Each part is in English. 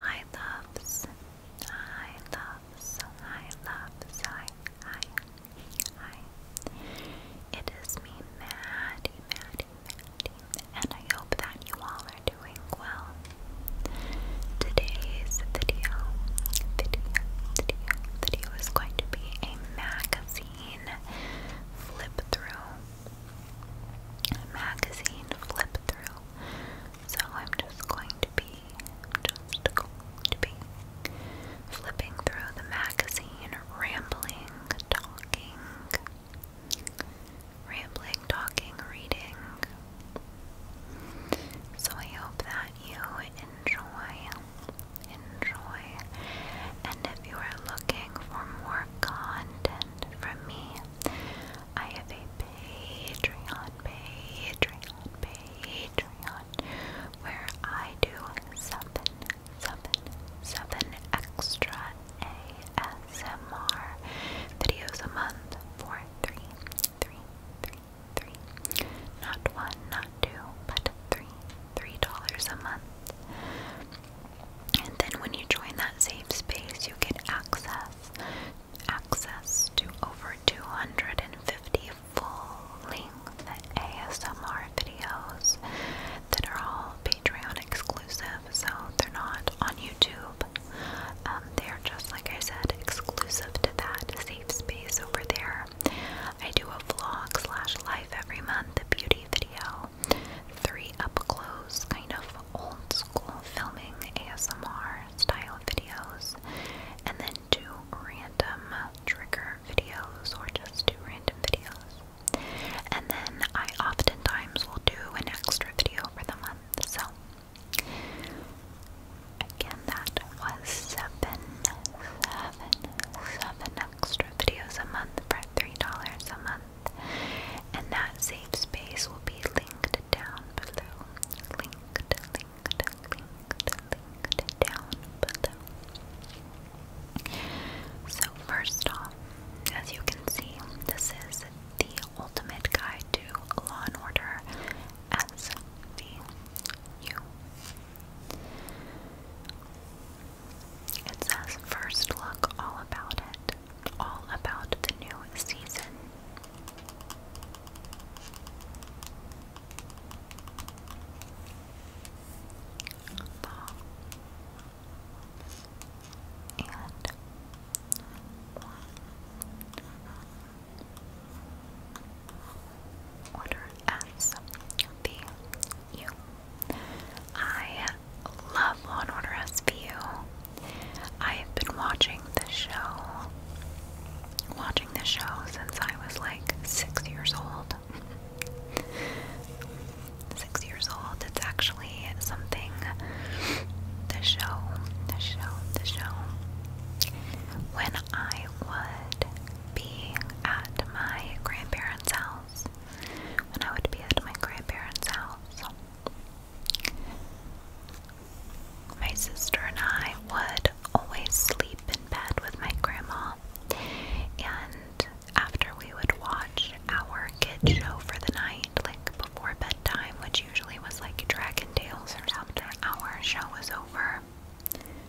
I loves, I loves, I loves, I, I, I. It is me, Maddie, Maddie, Maddie, and I hope that you all are doing well. Today's video, video, video, video is going to be a magazine flip through. Magazine flip through. So I'm just going to be, just going to be flipping through the magazine, rambling, talking, rambling, talking, reading. So I hope that you enjoy. Enjoy, and if you are looking for more content from me, I have a Patreon, Patreon, Patreon, where I do seven, seven, seven extra ASMR videos a month for three, three, three, three. Not one, not two, but three, three dollars a month. And then when you join that safe space, you get access access to over 250 full length ASMR videos that are all Patreon exclusive, so they're not on YouTube. Um, they're just, like I said, exclusive to that safe space over there. I do a vlog slash live every month, a beauty video, three up close, kind of old school filming ASMR style videos and then do random trigger videos or just do random videos. And then I oftentimes will do an extra video for the month. So again that was seven seven seven extra videos a month for three dollars a month. And that save space will be linked down below. Linked, linked, linked, linked down below. So, first off, as you can see, this is the ultimate guide to Law and Order SVU. It says, first look all about it all about the new season. And one. Order as the love Law Order SVU. I have been watching the show, watching the show since I was like six years old. six years old. It's actually something. The show, the show, the show. When I would be at my grandparents' house, when I would be at my grandparents' house. My sister and I would always sleep in bed with my grandma, and after we would watch our kid show for the night, like before bedtime, which usually was like Dragon Tales or something, our show was over.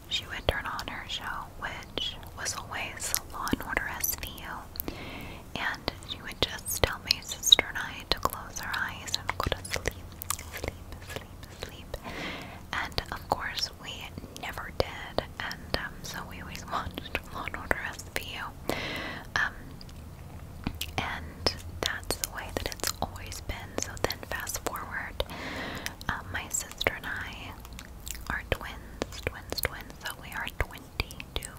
She would turn on her show, which was always Law and Order SVU, and she would just tell my sister and I to close our eyes and go to sleep, sleep, sleep, sleep. And of course, we never did, and um, so we always watched Law and Order SVU. Um, and that's the way that it's always been. So then, fast forward, um, my sister and I are twins, twins, twins. So we are 22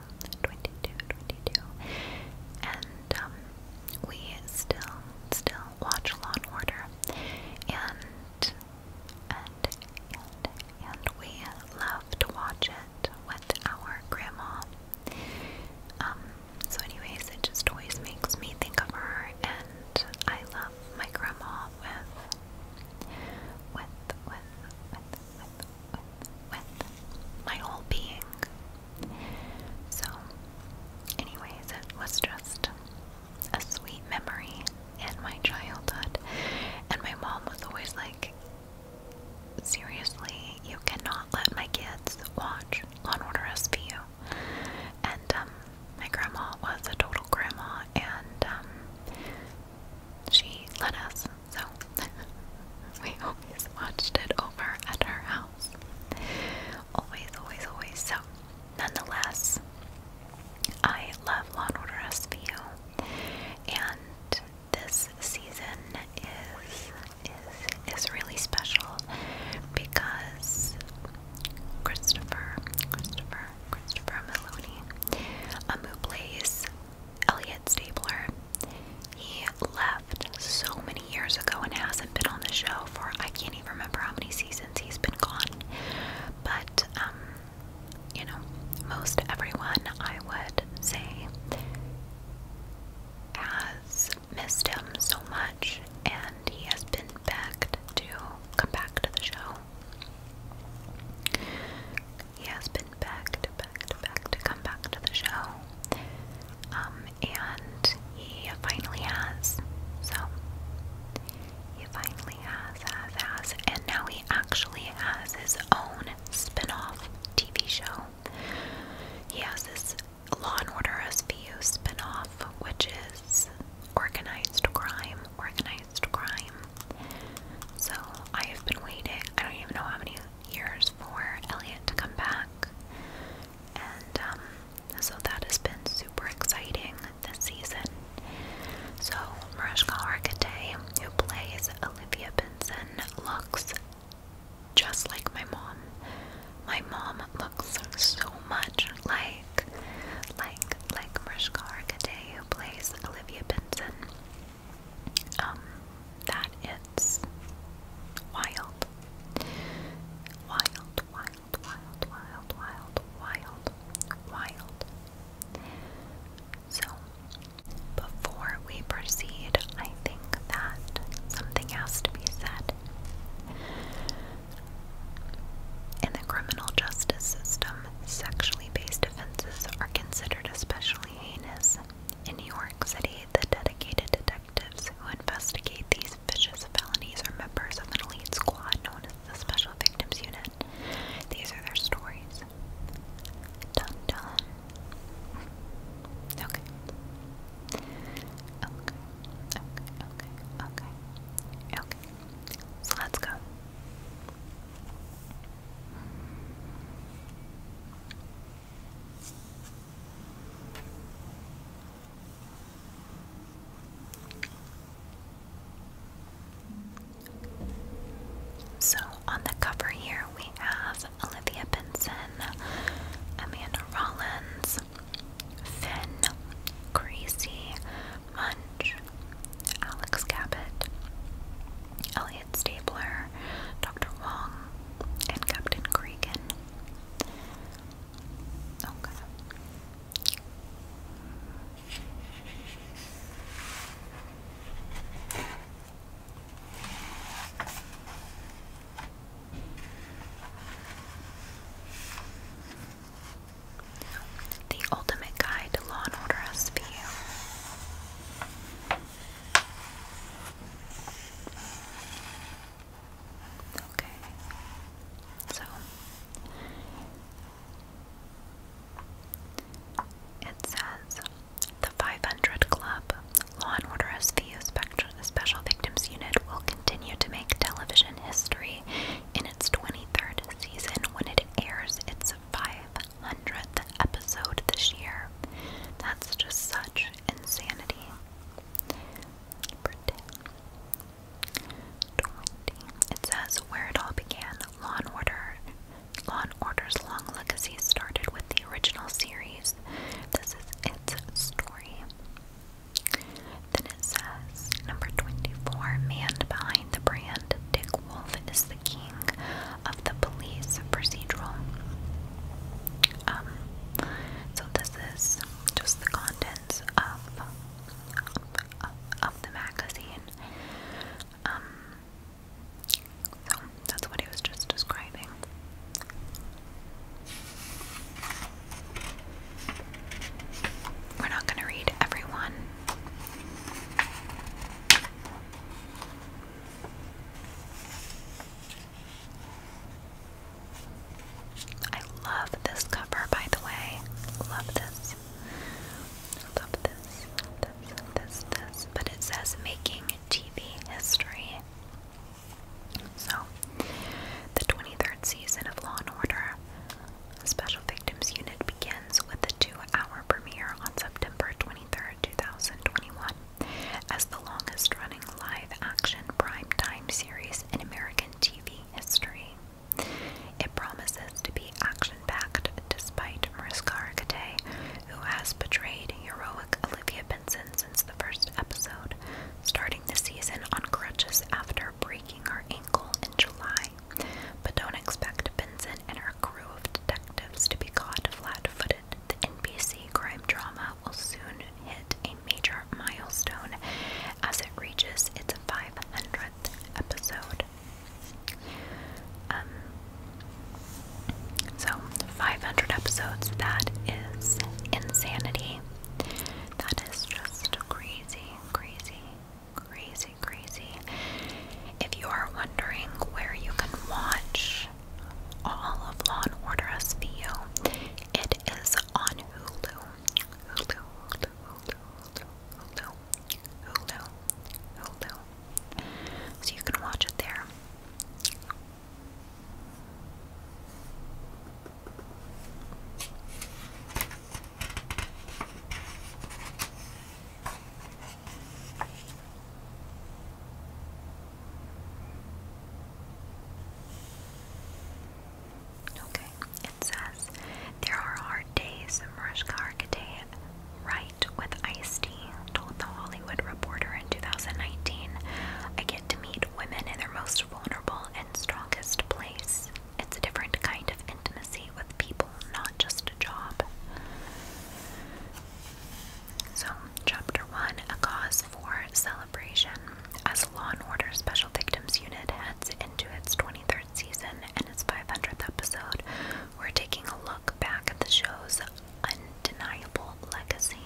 22, And um, we still, still watch Law and Order. And, and, and, and we love to watch it with our grandma. Um, so anyways, it just always makes me think of her and I love my grandma with with with with with, my whole being. So, anyways, it was just a sweet memory in my childhood. And my mom was always like, seriously, you cannot let my kids watch Law and Order SVU. And um, my grandma was a total grandma, and um, she let us so we always watched it over at our house. Always, always, always. So nonetheless, I love Law and Order SVU, and this season is is really special because Christopher, Christopher, Christopher Maloney, um, Elliot Stabler, he left so many years ago and hasn't been on the show for I can't even remember how many seasons he's been gone. But, um, you know, most everyone I would say has missed him so much and he has been begged to come back to the show. He has been begged back to back to come back to the show. Um, and he finally has. So he finally has, has, has, and now he actually has his own spin-off TV show. He has this Law and Order SVU spin which is organized crime, organized crime. So I have been waiting. I don't even know how many years for Elliot to come back. And um, so that has been super exciting this season. So Mariska Hargitay, who plays Olivia Benson, looks just like my mom. My mom looks so much like, like, like Mariska Hargitay, who plays Olivia Benson. Um, wild. Wild, wild, wild, wild, wild, wild, So, before we proceed, I think that something has to be said. In the criminal justice system, sexually based offenses are considered especially heinous. In New York City, the dedicated detective detectives who investigate these vicious felonies are members of an elite squad known as the Special Victims Unit. These are their stories. Dun Okay. Okay. Okay. Okay. Okay. Okay. So let's go. So on the cover here we have Olivia Benson, Amanda Rollins, Finn, Gracie, Munch, Alex Cabot, Elliot Stapler, Dr. Wong, and Captain Cregan. The Ultimate Guide to Law and Order SVU. Okay. So it says the 500 Club, Law and Order SVU Special Victims Unit, will continue to make television history in its 23rd season when it airs its 500th episode this year. That's just such insanity. It says where it all began. Law Order. Law Order's long legacy started with the original series. This is its story. Then it says, number 24, man behind the brand, Dick Wolf is the king of the police procedural. Um, so this is just the contents of of, the magazine. Um, so that's what he was just describing. We're not going to read everyone. I love this cover, by the way. Love this. Love this. This, this, this. But it says making TV history. So, the 23rd season of Law and Order Special Victims Unit begins with a two hour premiere on September 23 2021 as the longest running live action prime-time series in American TV history. It promises to be action packed despite Mariska Hargitay, who has portrayed heroic Olivia Benson since the first episode, starting the season on crutches after breaking her ankle in July. But don't expect Benson and her crew of detectives to be caught flat footed. The NBC crime drama will soon hit a major milestone as it reaches its 500th episode. Um, so, 500 episodes, that is insanity. That is just crazy, crazy, crazy, crazy. If you are wondering where you can watch all of Law and Order SVU. It is on Hulu. Hulu, Hulu, Hulu, Hulu, Hulu, Hulu, So you can watch it there. Okay, it says there are hard days. Mariska Hargitay, right with ice tea, told the Hollywood Reporter in 2019, "I get to meet women in their most vulnerable and strongest place. It's a different kind of intimacy with people, not just a job." So, Chapter 1 A Cause for Celebration. As Law and Order Special Victims Unit heads into its 23rd season and its 500th episode, we're taking a look back at the show's undeniable legacy.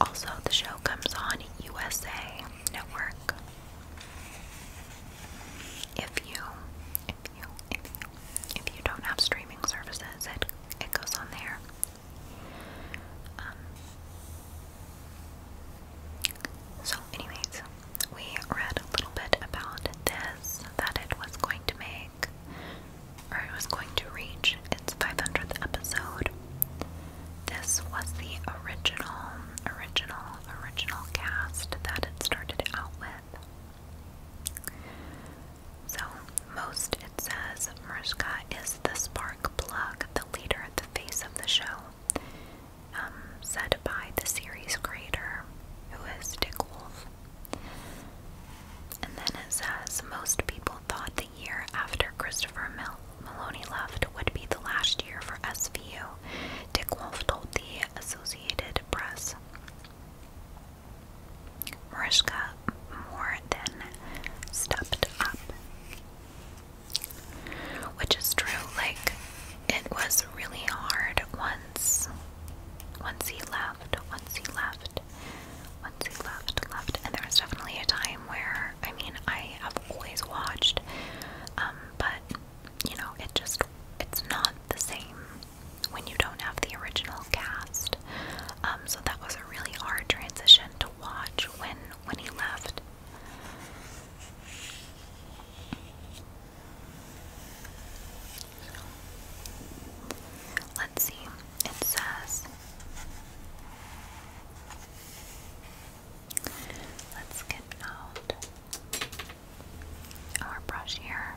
Also, the show comes on USA Network. If you if you don't have streaming services, it it goes on there. Um, so, anyways, we read a little bit about this that it was going to make, or it was going to reach its 500th episode. This was the original, original, original cast that it started out with. So, most it says Mariska is the spark plug, the leader, the face of the show, um, said by the series creator, who is Dick Wolf. And then it says most people thought the year after Christopher Mel Maloney left would be the last year for SVU. Dick Wolf told the Associated Press. Mariska more than stepped up. Which is true, like it was really hard once once he left, once he left, once he left, left. And there was definitely a time where I mean I have always watched, um, but you know, it just it's not the same when you don't have the original cast. Um, so that was a really hard transition to watch when when he left. Let's see. It says Let's get out our brush here.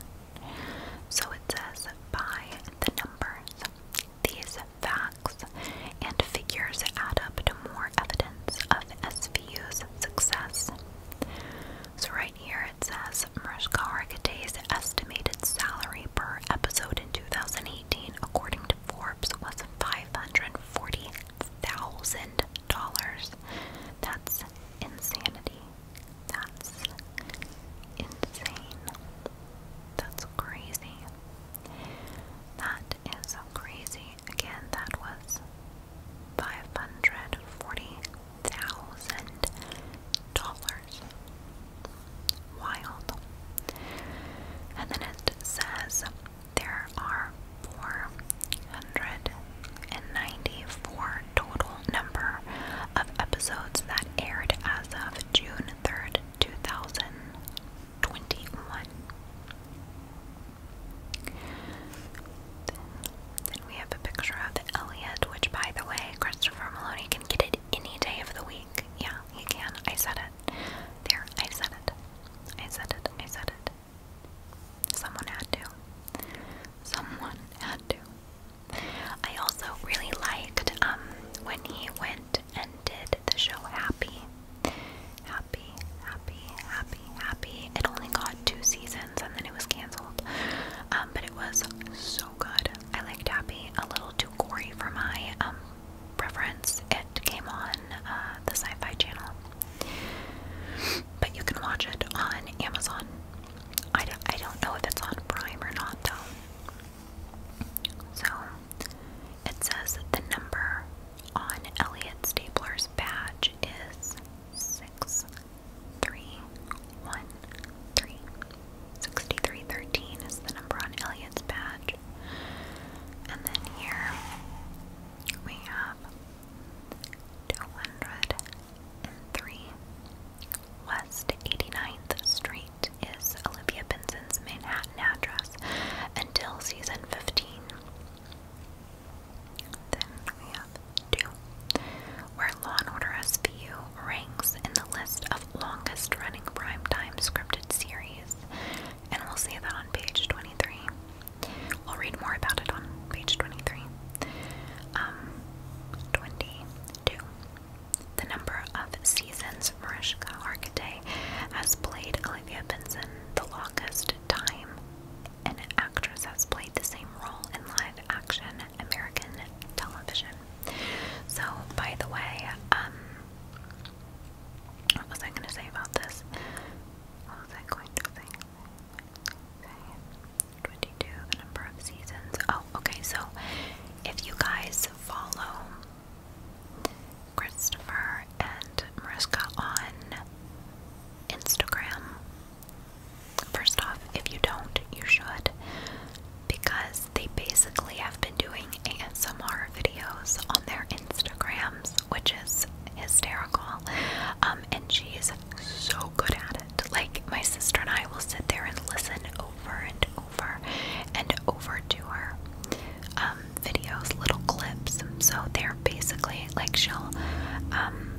So it says by the numbers. These facts and figures add up to more evidence of SVU's success. So, right here it says Mariska Hargitay's estimated salary per episode in 2018, according to Forbes, was $540,000. That's insanity. That's insane. That's crazy. That is so crazy. Again, that was five hundred forty thousand dollars. Wild. And then it says there are four hundred and ninety-four total number of episodes that aired as of June 3rd, 2021. then we have a picture of Elliot, which, by the way, Christopher Maloney can get it any day of the week. Yeah, he can. I said it. There, I said it. I said it. I said it. Someone had to. Someone had to. I also really liked um, when he went and did the show Happy. Happy, happy, happy, happy. It only got two seasons and then it was canceled. Um, but it was so good. I liked Happy. A little too gory for my um, preference. It came on uh, the Sci Fi Channel. But you can watch it on Amazon. I I don't know if it's on Prime or not, though. So, it says the number on Elliot Stapler's badge is 6313. 6313 is the number on Elliot's badge. And then here we have 200 3. West 89th Street is Olivia Benson's Manhattan address until season 15. Then we have 2, where Law & Order SVU ranks in the list of longest running primetime scripted series, and we'll see that on page 23. We'll read more about it on page 23. Um, the number of seasons Mariska Hargitay has played Olivia Benson the longest time. An actress has played the same role in live action American television. So, by the way, um, what was I going to say about this? What was I going to say? 22, the number of seasons. Oh, okay, so if you guys follow Christopher and Mariska on Instagram, first off, if you don't, you should, because they basically have been doing ASMR videos on their Instagrams, which is hysterical. Um, and she is so good at it. Like, my sister and I will sit there and listen over and over and over to her um, videos, little clips. So they're basically like she'll um,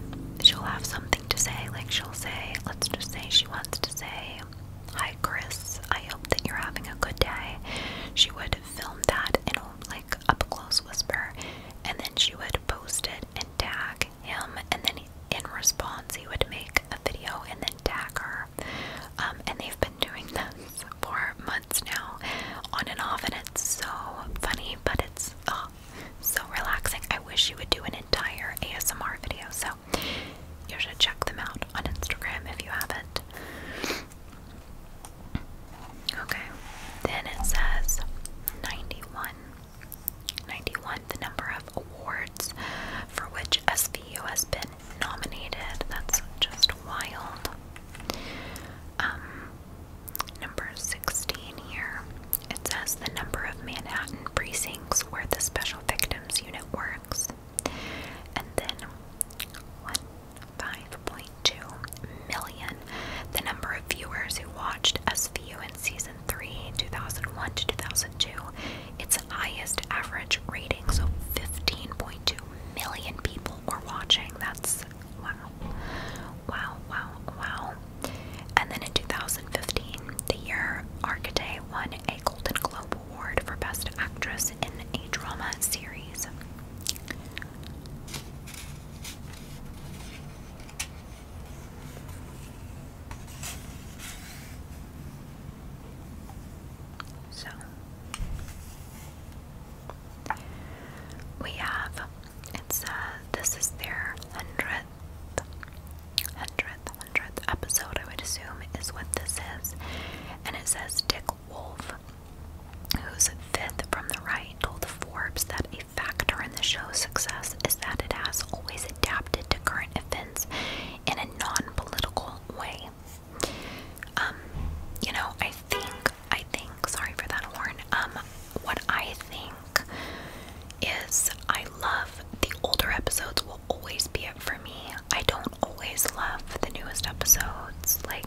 she'll have something to say. Like she'll say, let's just say she wants to say, "Hi, Chris. I hope that you're having a good day." She would film that in a, like up close whisper, and then she would post it and tag him, and then in response, he would make a video and then tag her. Um, and they've been doing this for months now, on and off, and it's so funny, but it's oh, so relaxing. I wish you would do an entire ASMR video, so you should check them out on Instagram if you haven't. Okay, then it says 91. 91. The number of awards for which SVU has been nominated. That's just wild. Um, number 16 here. It says the number of Manhattan precincts where the Special Victims Unit works. And then 1.5.2 season. The number of viewers who watched SVU in season 3, 2001 to 2002, its highest average rating, so 15.2 million people were watching. That's wow. Wow, wow, wow. And then in 2015, the year Arcade won a Golden Globe Award for Best Actress in a Drama Series. So we have it's uh this is their hundredth hundredth hundredth episode I would assume is what this is. And it says Dick Wolf, who's fifth from the right, told Forbes that a factor in the show's success is that it has always adapted to current events in a non political way. Um, you know, I think, I think, sorry for that horn, um, what I think is I love the older episodes will always be it for me. I don't always love the newest episodes, like,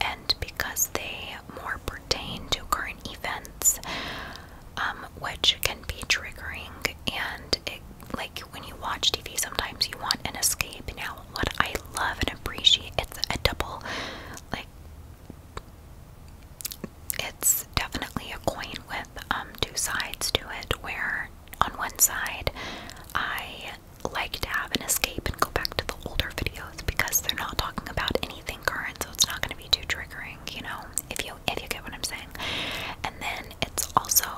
and because they more pertain to current events, um, which can be triggering. And like when you watch TV, sometimes you want an escape. Now, what I love and appreciate, it's a double, like, it's definitely a coin with um, two sides to it. Where on one side, I like to have an escape and go back to the older videos because they're not talking about anything current, so it's not going to to be too triggering, you know, if you if you get what I'm saying. And then it's also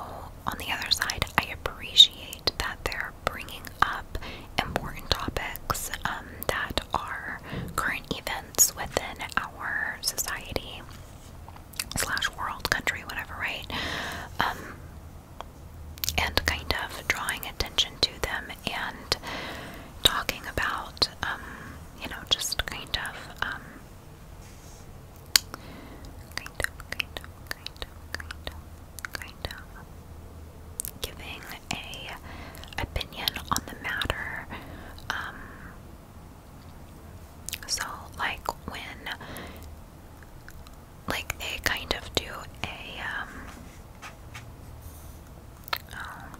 on the other side, I appreciate that they're bringing up important topics um, that are current events within our society slash world, country, whatever, right? Um, and kind of drawing attention to them and talking about and um, you know, just kind of um, kind of, kind of, kind of, kind of, kind of giving a opinion on the matter. Um, so, like when, like they kind of do a um. Um,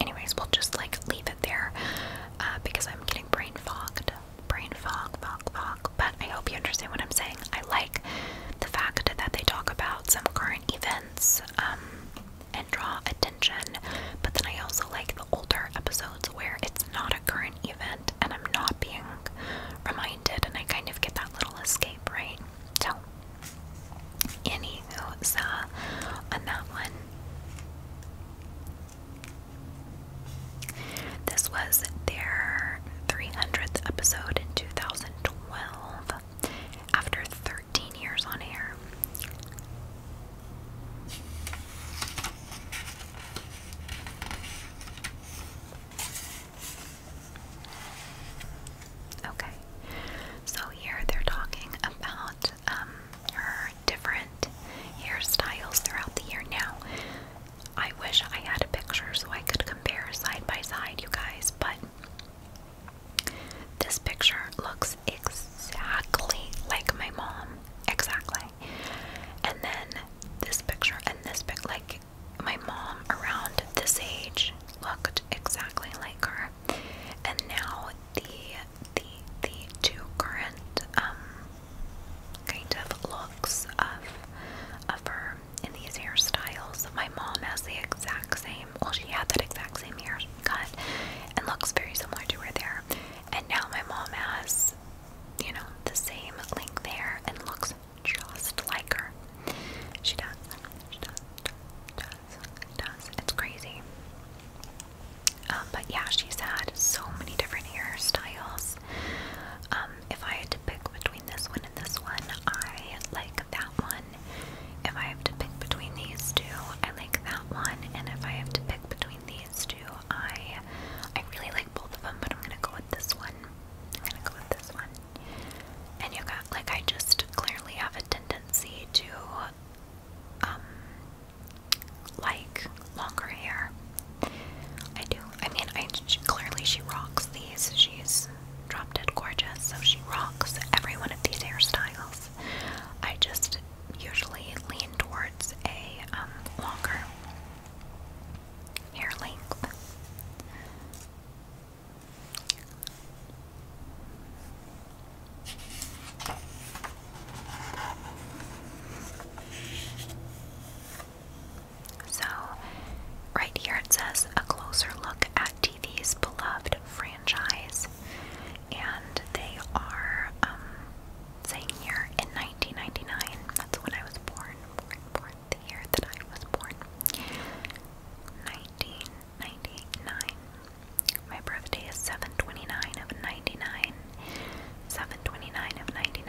anyways, we'll just like leave it there uh, because I'm getting brain fogged. Brain fog, fog, fog. But I hope you understand what I'm saying. I like the fact that they talk about some current events um, and draw attention, but then I also like the older episodes where it's not a current event and I'm not being reminded, and I kind of get that little escape, right? So Anywho, so on that one, this was their 300th episode in 2012 after 13 years on air. Okay, so here they're talking about um, her different hairstyles throughout the year. Now, I wish I had a picture so I could compare side by side, you guys, but this picture looks exactly like my mom. Exactly. And then this picture and this pic, like my mom around this age looked exactly like her. And now the the the two current um, kind of looks of of her in these hairstyles. My mom has the exact same well she had that exact same hair cut and looks very similar to her there. And now my mom has, you know, the same length there and looks just like her. She Does, it does. It's crazy. Um, but yeah, she's had so many different hairstyles. Um, if I had to pick between this one and this one, I like that one. If I have to pick between these two, I like that one. And if I have to pick between these two, I I really like both of them, but I'm gonna go with this one. I'm gonna go with this one. And you got like I just clearly have a tendency to um, like longer hair. I do. I mean, I she, clearly she rocks these. She's drop dead gorgeous, so she rocks every one of these hairstyles. I just usually lean towards a um, longer hair length. So, right here it says a closer look at TV's beloved franchise, and they are um, saying here in 1999. That's when I was born, the year that I was born. 1999. 99. My birthday is 729 of 99. 729 of 99.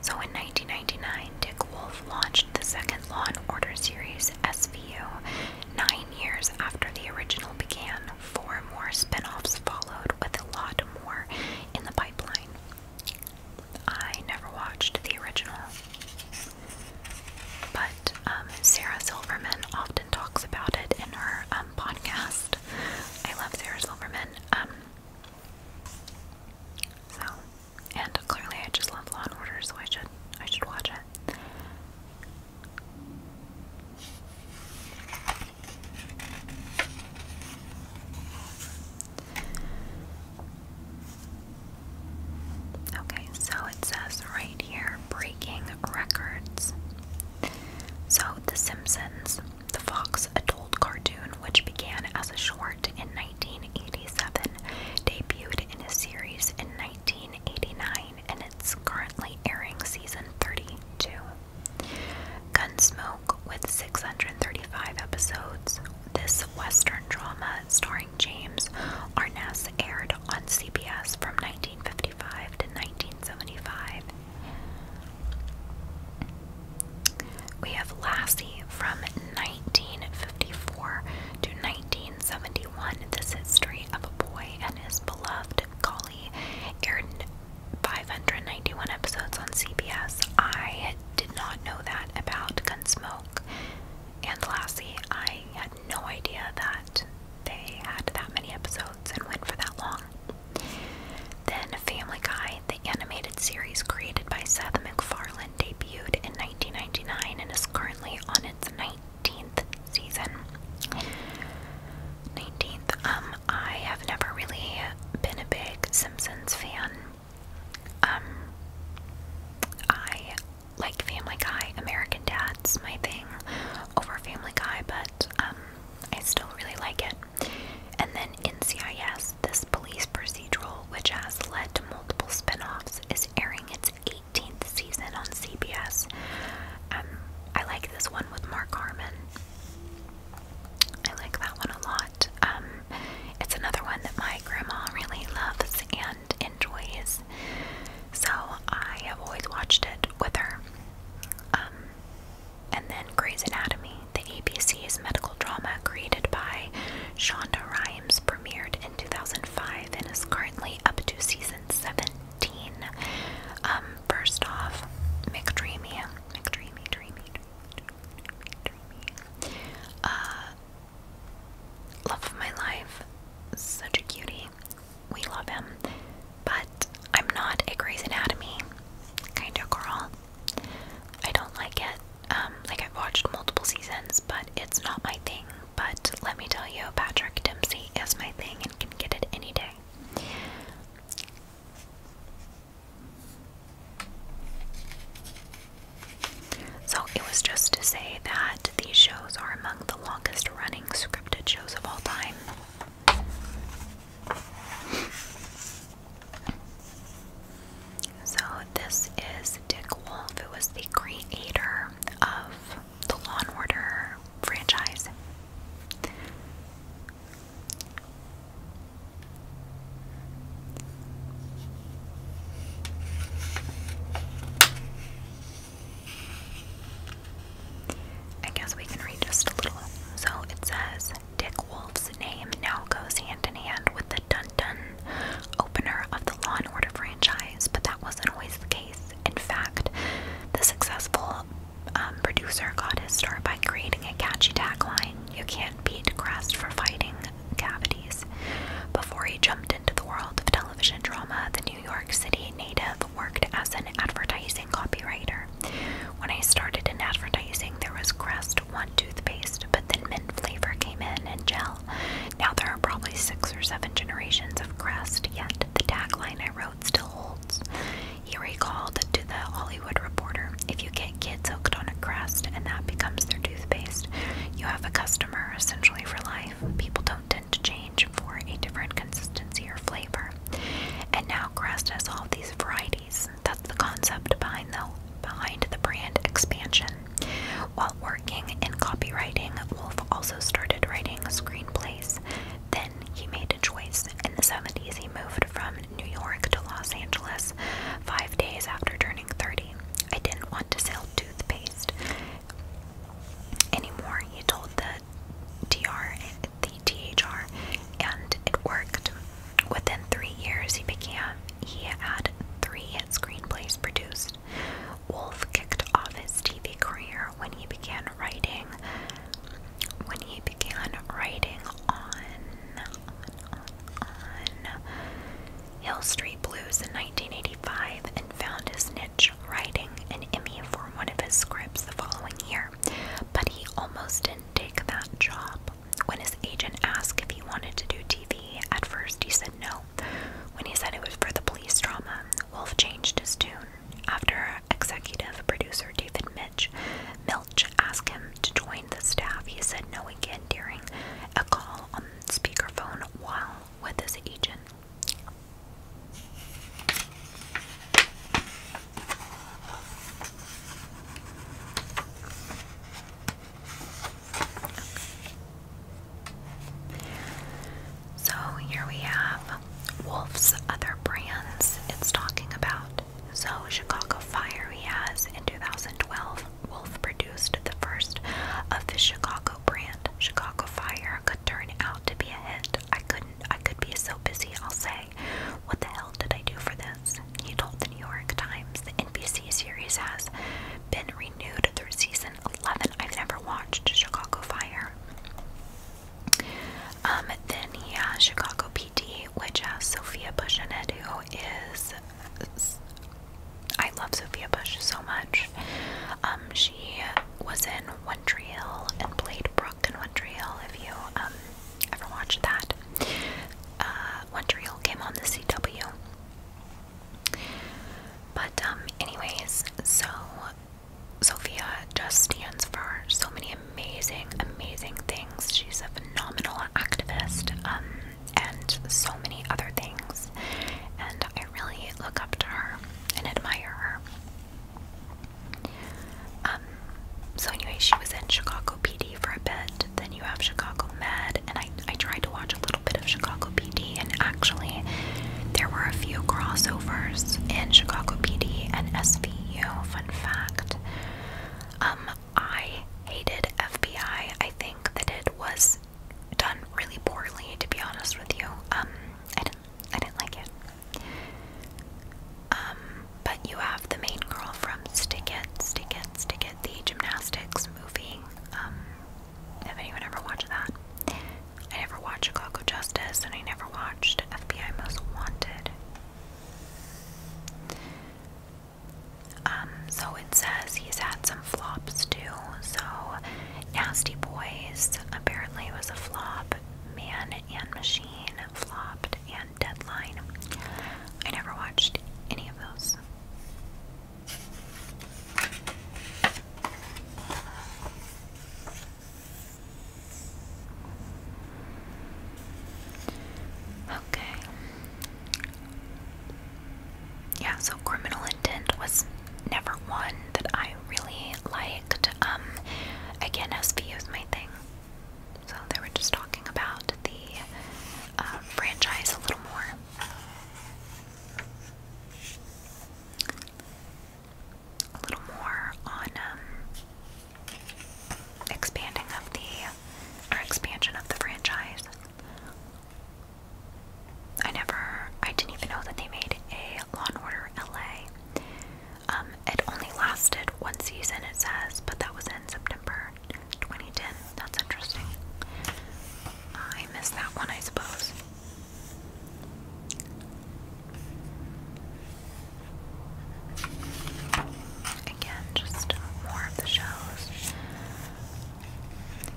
So in 1999, Dick Wolf launched the second Law and Order series, SVU. Nine years after the original began, four more spin offs followed, with a lot more in the pipeline. I never watched the original. But um, Sarah Silverman often talks about it in her um, podcast. I love Sarah Silverman. Um, so, and clearly, I just love Law and Order, so I should I should watch it. Okay, so it says right here breaking records. So, The Simpsons, the Fox adult cartoon, which began as a short in 1987, debuted in a series in 1989, and it's currently airing season 32. Gunsmoke, with 635 episodes, this Western drama starring starring James Arness aired on CBS from 1955 to 1975. We have Lassie from 1954 to 1971. This history of a boy and his beloved collie aired 591 episodes on CBS. I did not know that about Gunsmoke and Lassie. I had no idea that they had that many episodes and went for that long. Then Family Guy, the animated series created by Seth MacFarlane, debuted in 1999 and is currently on its 19th season. 19th. Um, I have never really been a big Simpsons fan. Um, I like Family Guy, American Dad's my thing over Family Guy, but um, I still really like it. And then NCIS, this police procedural, which has led to multiple spin-offs, is airing its 18th season on CBS. Um, I like this one with Mark Harmon. I like that one a lot. Um, it's another one that my grandma really loves and enjoys, is. So I have always watched it with her. Um, and then Grey's Anatomy, the ABC's medical drama created by Shonda Rhimes, premiered in 2005 and is currently up to season 17. Um, first off, McDreamy, McDreamy, Dreamy, Dreamy, Dreamy, Dreamy. Uh, Love of my life, such a cutie. We love him. But I'm not a Grey's Anatomy kind of girl. I don't like it. Um, like I've watched multiple seasons, but it's not my thing. But let me tell you, Patrick Dempsey is my thing and can get it any day. So it was just to say that these shows are among the longest running scripted shows of all time. So this is Dick Wolf, who was the creator of the Law and Order franchise. I guess we can read just a little. So it says Dick Wolf's name now goes hand in hand with the Dun Dun opener of the Law and Order franchise, but that wasn't always the case. In fact, the successful um, producer got his start by creating a catchy tagline You can't beat grass for fighting cavities before he jumped into the world of television television drama, the New York City native worked as an advertising copywriter. When I started in advertising, there was Crest One toothpaste, but then mint flavor came in and gel. Now there are probably six or seven generations of Crest, yet the tagline I wrote still holds. He recalled to the Hollywood Reporter If you get kids hooked on a Crest and that becomes their toothpaste, you have a customer essentially for life. People don't tend to change for a different consistency or flavor. And now Crest has all these varieties. That's the concept behind the behind the brand expansion. While working in copywriting, Wolf also started writing screenplays. Then he made a choice. In the 70s, he moved from New York to Los Angeles five days after turning 30. I didn't want to sell toothpaste anymore. He told the DR, the THR, and it worked. Within three years, he became he had three hit screenplays produced. Wolf kicked off his TV career when he began writing. When he began writing on, on, on, on Hill Street Blues in 1985 and found his niche writing an Emmy for one of his scripts the following year, but he almost didn't take that job. When his agent asked if he wanted to do TV, at first he said no. When he said it was for the police drama, Wolf changed his tune. After executive producer David Mitch Milch asked him to join the staff, he said no again during a call on speakerphone while with his agent. So here we have Wolf's other brands it's talking about. So, Chicago Fire, he has in 2012, Wolf produced the first of the Chicago brand Chicago Fire could turn out to be a hit. I couldn't. I could be so busy. I'll say, what the hell did I do for this? He told the New York Times the NBC series has been renewed through season 11. I've never watched Chicago Fire. Um, then he has Chicago PD, which has Sophia Bush in it, who is I love Sophia Bush so much. Um, she was in One Tree Hill and played Brooke in One Tree Hill. If you um, ever watched that, uh, One Tree Hill came on the CW. But um, anyways, so Sophia just stands for so many amazing, amazing things. She's a phenomenal activist. And so many other things. And I really look up to her and admire her. Um, so anyway, she was in Chicago PD for a bit. Then you have Chicago Med, and I I tried to watch a little bit of Chicago PD, and actually there were a few crossovers in Chicago PD and SVU. Fun fact. Um, I hated FBI. I think that it was done really poorly, to be honest with you. Um, I didn't, I didn't like it. Um, but you have the main girl from Stick It, Stick It, Stick It, the gymnastics movie. Um, if anyone ever watched that, I never watched Chicago Justice, and I never watched FBI Most Wanted. Um, so it says he's had some flops too. So, Nasty Boys apparently it was a flop. Man and Machine flopped, and Deadline. I never watched any of those. Okay yeah, so criminal intent was never one that I really liked. Um, again, SV is my thing. So they were just talking about the uh, franchise a little more. A little more on um, expanding of the or expansion of the franchise. I never, I didn't even know that they made a Law and Order LA. Um, it only lasted one season, it says, but that was in September 2010. That's interesting. I missed that one, I suppose. Again, just more of the shows.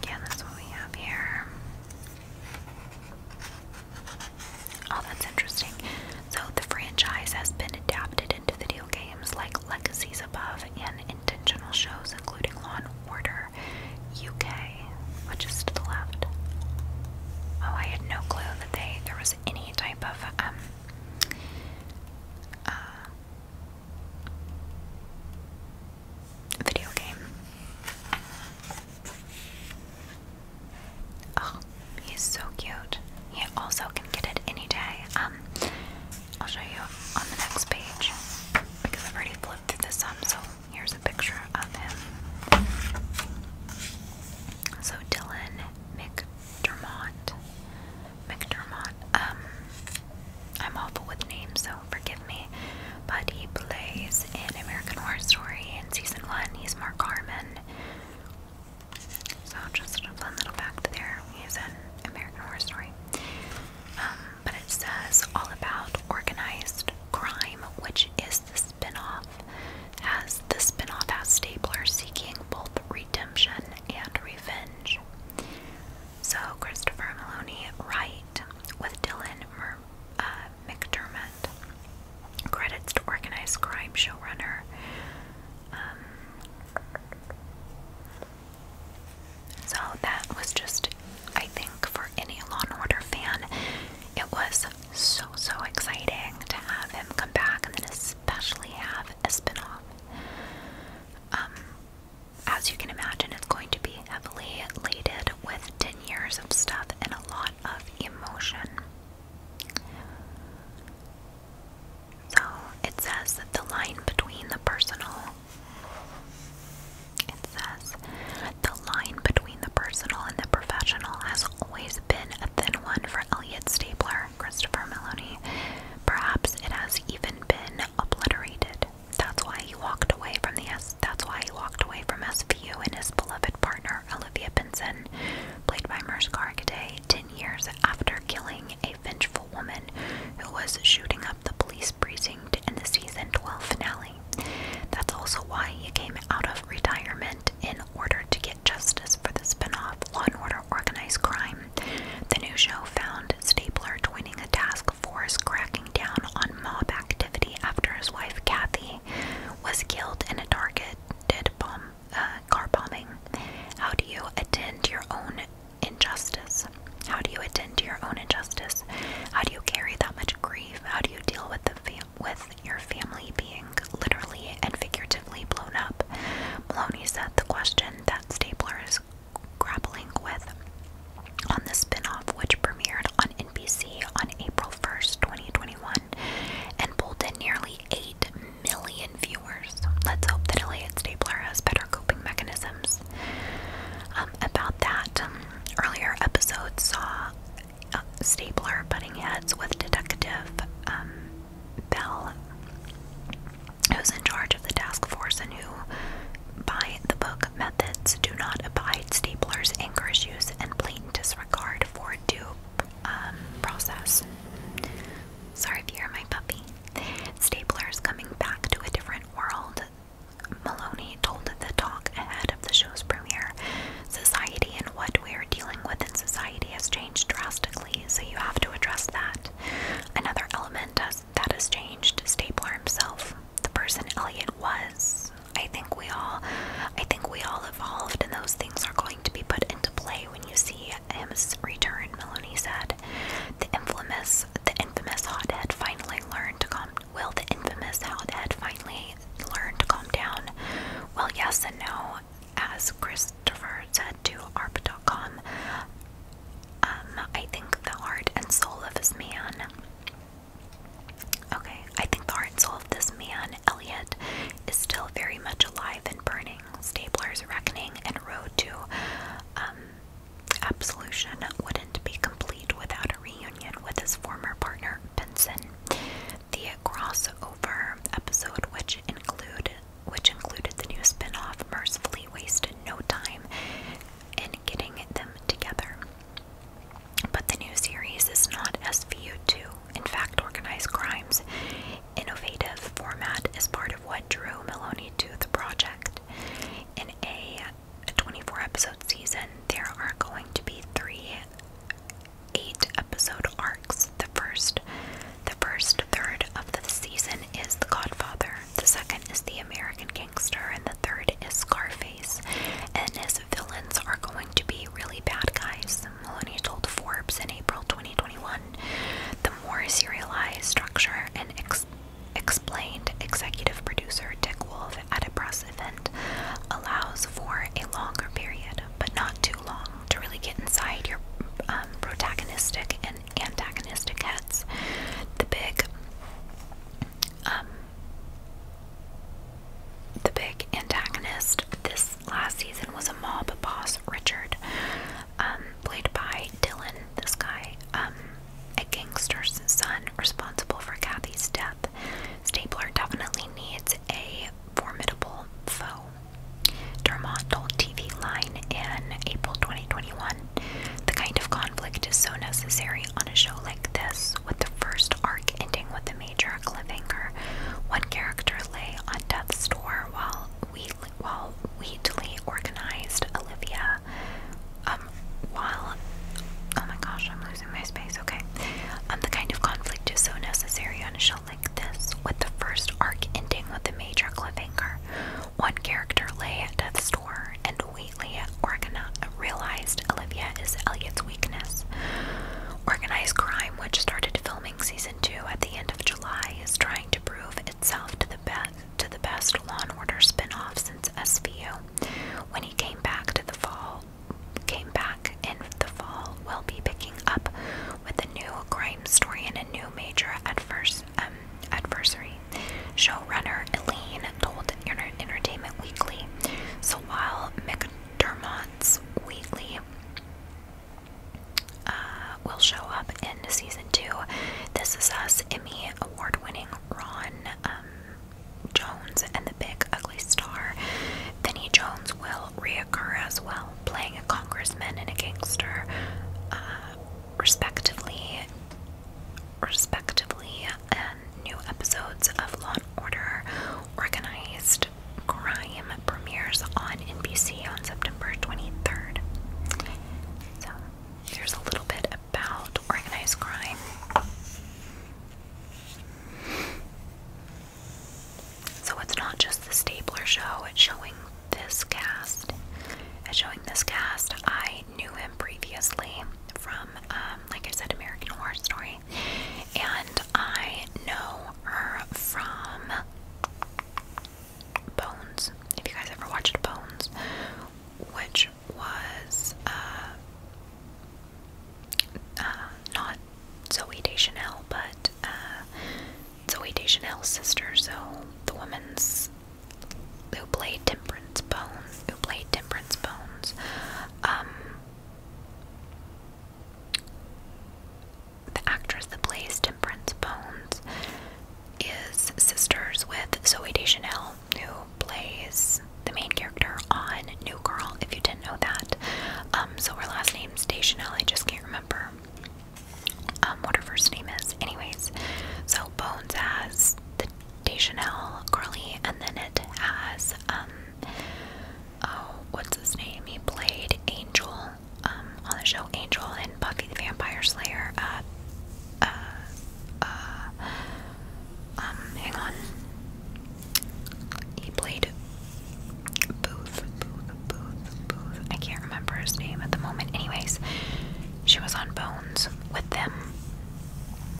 Again, that's what we have here. Oh, that's interesting. So, the franchise has been adapted into video games like Legacies Above and intentional shows, including Law and Order UK, which is to the left. Oh, I had no clue that they there was any type of um uh, video game. Oh, he's so cute. He also can get it any day. Um, I'll show you on the next page because I've already flipped this up. So here's a picture of him. So Dylan McDermott, McDermott. Um, I'm awful with names, so forgive me, but he plays in American Horror Story in season one. He's Mark Harmon. So just a fun little fact there. He's in American Horror Story. Um, but it says all about organized crime, which is the spin-off. As the spin-off has Stapler seeking both redemption and revenge. So Christopher Maloney right? with Dylan uh, McDermott. Credits to Organized Crime Showrunner. Um, so that was just, I think, for any Law and Order fan, it was so, so exciting to have him come back and then especially have a spinoff. Um, as you can imagine, it's going to be heavily laden with 10 years of stuff and a lot of emotion. So it says that the line between the personal, it says the line between the personal and the professional has always been a thin one for Elliot Stapler, Christopher Meloni. Perhaps it has even been obliterated. That's why he walked away from the S. That's why he walked away from SVU and his beloved partner Olivia Benson, played by Merce Gargaday, ten years after killing a vengeful woman who was shooting up the police precinct in the season 12 finale. That's also why he came out of retirement in order to get justice for the spinoff Law and Order Organized Crime. The new show found Stapler twinning a task force cracking down on mob activity after his wife Kathy was killed in a targeted uh, car bombing. How do you attend to your own injustice? How do you attend to your own injustice? How do you carry that much grief? How do you deal with the with your family being literally and figuratively blown up? Maloney said the question that Stapler is grappling with on the spinoff, which premiered on NBC on April 1st, 2021, and pulled in nearly 8 million viewers. Let's hope that Elliot Stapler has better coping mechanisms. Um, about that, um, earlier episodes saw uh, Stapler butting heads with Detective um, Bell, who's in charge of the task force and who, by the book, methods do not abide staplers, anchors use, and blatant disregard for due um, process. Sorry if you hear my puppy. Stapler is coming back to a different world. Maloney told the talk ahead of the show's premiere. Society and what we are dealing with in society has changed drastically, so you have to address that. Another element that has changed Stapler himself the person Elliot was. I think we all I think we all evolved and those things are going to be put into play when you see him's return, Maloney said. The infamous the infamous hot head finally learned to calm will the infamous hothead finally learn to calm down? Well yes and no. As Christopher said to ARP.com, um, I think the heart and soul of his man Okay, I think the heart and soul of this man, Elliot, is still very much alive and burning. Stapler's reckoning and road to um, absolution wouldn't be complete without a reunion with his former partner, Benson. The crossover episode, which include which included the new spin-off, mercifully wasted no time in getting them together. But the new series is not SVU2. In fact, Organized Crime's innovative format is part of what drew Maloney to the project. In a 24 episode season, there are going to be three eight episode arcs. The first the first third of the season is The Godfather. The second is The American and the third is Scarface. And his villains are going to be really bad guys, Maloney told Forbes in April 2021. The more serialized structure and explained executive producer Dick Wolf at a press event allows for a longer period, but not too long, to really get inside your um, protagonistic and antagonistic heads. The big um, the big antagonist this last season was a mob boss, Richard, um, played by Dylan, this guy, um, a gangster's son responsible for Kathy's death. Stapler definitely needs a formidable foe. Dermont told TV Line in April 2021 The kind of conflict is so necessary on a show like this, with the first arc ending with a major cliffhanger. One character lay on death's door while Wheatley, while Wheatley organized Olivia. Um, while oh my gosh, I'm losing my space. Okay, um, the kind of conflict is so necessary on a show like this, with the first arc ending with a major cliffhanger. One character lay at death's door, and Wheatley realized Olivia is Elliot's weakness. Organized crime, which started filming season two at the end of July, is trying to prove itself to the best to the best Law and Order spinoff since SVU. When he came back to the fall, came back in the fall, will be picking up with a new crime story and a new major um, adversary. Showrunner Elaine told Entertainment Weekly. So while McDermott's Wheatley uh, will show up in season two, This Is Us Emmy award-winning Ron um, Jones and the Big Ugly Star. Vinnie Jones will reoccur as well, playing a congressman and a gangster, uh, respectively. Respectively, uh, new episodes of Law & Order Organized Crime premieres on NBC on September 23rd. So, there's a little bit about organized crime. So, it's not just the Stapler show, it's showing this cast. It's showing this cast. I knew him previously from um, um, like I said, American Horror Story. And I know her from Bones. If you guys ever watched Bones, which was uh, uh, not Zoe Deschanel, but uh, Zoe Deschanel's sister, so the woman's who played Temperance. Temperance Bones, who played Temperance Bones. Um, the actress that plays Temperance Bones is sisters with Zoe Deschanel, who plays the main character on New Girl, if you didn't know that. Um, so her last name's Deschanel, I just can't remember um, what her first name is. Anyways, so Bones has Deschanel Curly, and then it has um oh what's his name? He played Angel um on the show Angel and Buffy the Vampire Slayer. Uh, uh, uh, um, hang on. He played Booth, Booth, Booth, Booth. I can't remember his name at the moment. Anyways, she was on Bones with them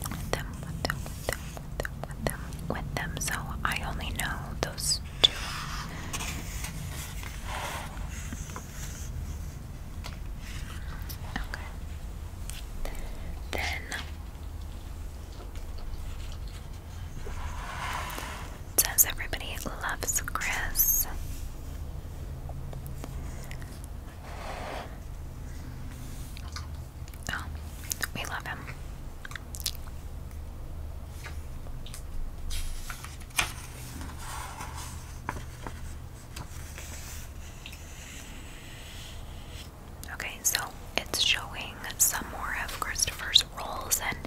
with them, with them, with them, with them, with them, So I only know those two. Okay. Then it everybody loves Chris. Oh, we love him. Okay, so it's showing some more of Christopher's roles and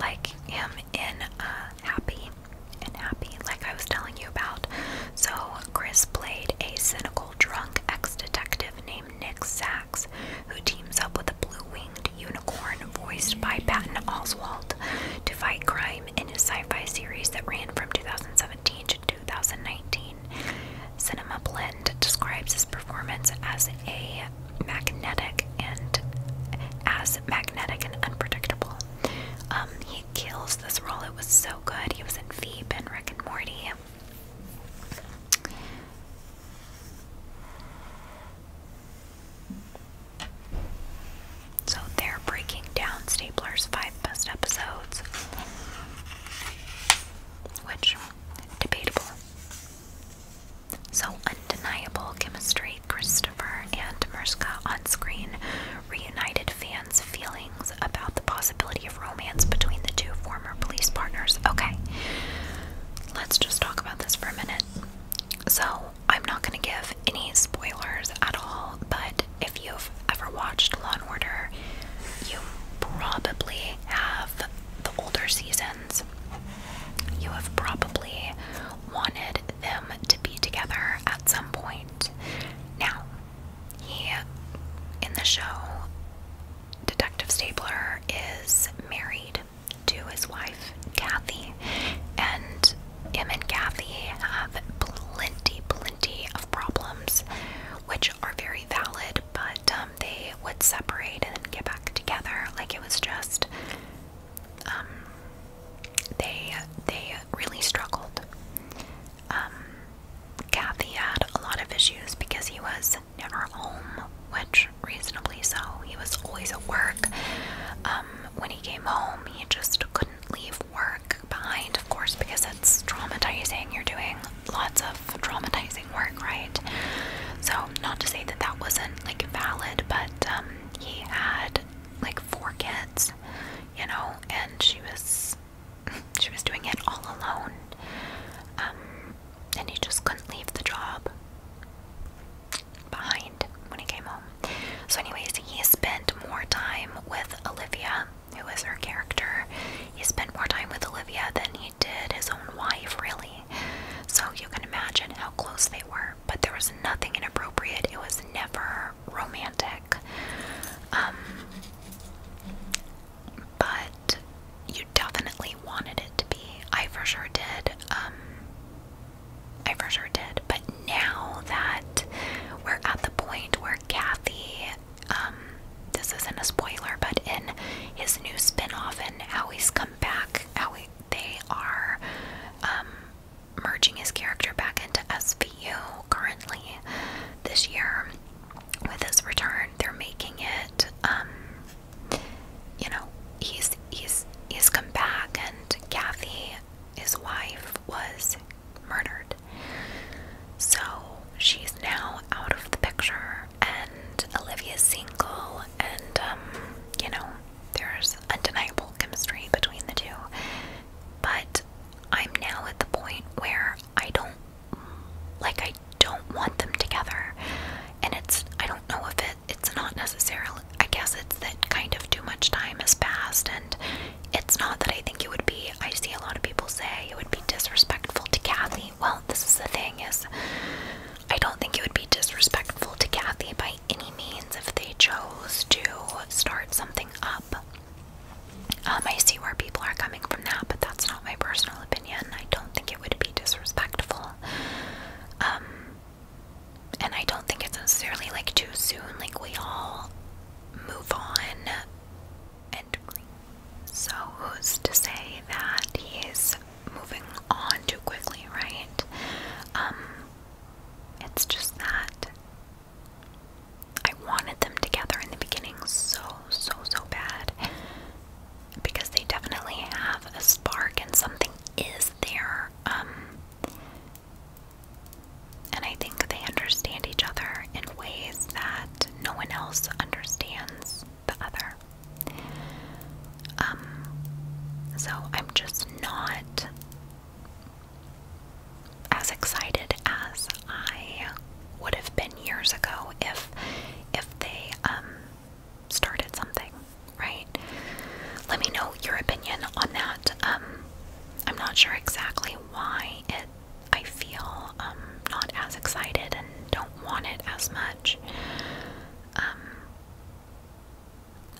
like him in uh, Happy and Happy, like I was telling you about. So, Chris played a cynical drunk ex-detective named Nick Sachs, who teams up with a blue-winged unicorn voiced by Patton Oswalt to fight crime in a sci-fi series that ran from 2017 to 2019. Cinema Blend describes his performance as a magnetic and as magnetic and unpredictable. Um, he kills this role. It was so good. He was in Veep and Rick and Morty. So they're breaking down Stapler's five best episodes, which debatable. So undeniable chemistry Christopher and Mariska on screen reunited fans' feelings about the possibility of romance between the two former police partners. Okay, let's just talk about this for a minute. So, I'm not going to give any spoilers at all, but if you've ever watched Law and Order, you probably have the older seasons. You have probably wanted them to be together at some point. Now, he, in the show, Detective Stapler is married to his wife, Kathy, and him and Kathy have plenty, plenty of problems, which are very valid, but um, they would separate and get back together. Like it was just, um, they they really struggled um, Kathy had a lot of issues because he was never home, which reasonably so. He was always at work. Um, when he came home, he just couldn't leave work behind, of course, because it's traumatizing. You're doing lots of traumatizing work, right? So, not to say that that wasn't like valid, but um, he had like four kids, you know, and she was she was doing it all alone. Um, and he just couldn't leave the job behind when he came home. So, anyways, he spent more time with Olivia, who was her character. He spent more time with Olivia than he did his own wife, really. So, you can imagine how close they were, but there was nothing inappropriate. It was never romantic. Um, but you definitely wanted it to be. I for sure did. Um, I for sure did. But now that we're at the point where Kathy, um, this isn't a spoiler, but in his new spinoff and how he's come back, how they are merging his character back into SVU currently this year with his return, they're making it. Um, you know, he's he's he's come back, and Kathy, his wife, was murdered. So she's now out of the picture, and Olivia's single, and um, you know, there's undeniable chemistry between the two. But I'm now at the point where I don't like I don't want them together. And it's I don't know if it it's not necessarily I guess it's that kind of too much time has passed and it's not that I think it would be I see a lot of people say it would be disrespectful to Kathy. Well, this is the thing is I don't think it would be disrespectful to Kathy by any means if they chose to start something up. Um, I see where people are coming from now, but that's not my personal opinion. I don't think it would be disrespectful. Um, and I don't think it's necessarily like too soon. Like, we all move on. And so, who's to say that he's moving on too quickly, right? Um, it's just that I wanted them together in the beginning so, so, so bad because they definitely have a spark and something is there. Um, and I think they understand each other in ways that no one else understands the other. Um, so I'm just not as excited as I would have been years ago if if they um, started something, right? Let me know your opinion on that. Um, I'm not sure exactly why it I feel um, not as excited and don't want it as much.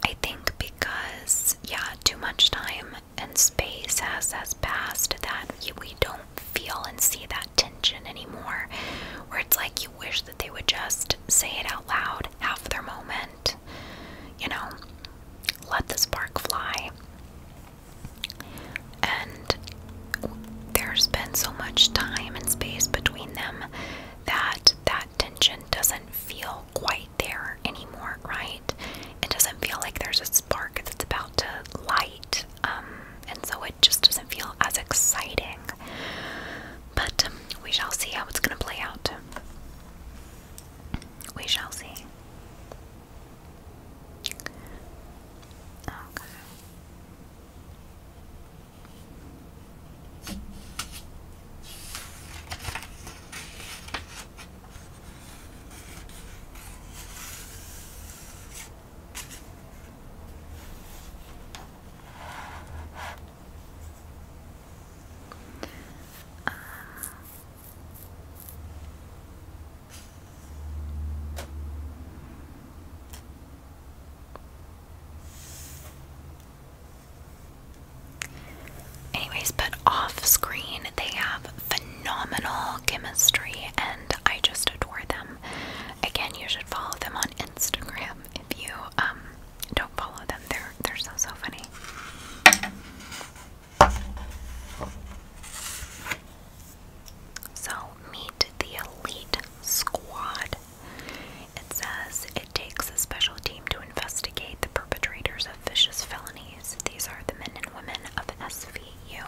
I think because yeah, too much time and space has has passed that we don't feel and see that tension anymore where it's like you wish that they would just say it out loud have their moment you know let the spark fly and there's been so much time and space between them that that tension doesn't feel quite there anymore right it doesn't feel like there's a spark that's about to light, um, and so it just doesn't feel as exciting. But um, we shall see how it's going to play out. We shall see. Okay anyways, but off screen, they have phenomenal chemistry and I just adore them. Again, you should follow them on Instagram if you um don't follow them. They're they're so so funny. So meet the elite squad. It says it takes a special team to investigate the perpetrators of vicious felonies. These are the men and women of SVU.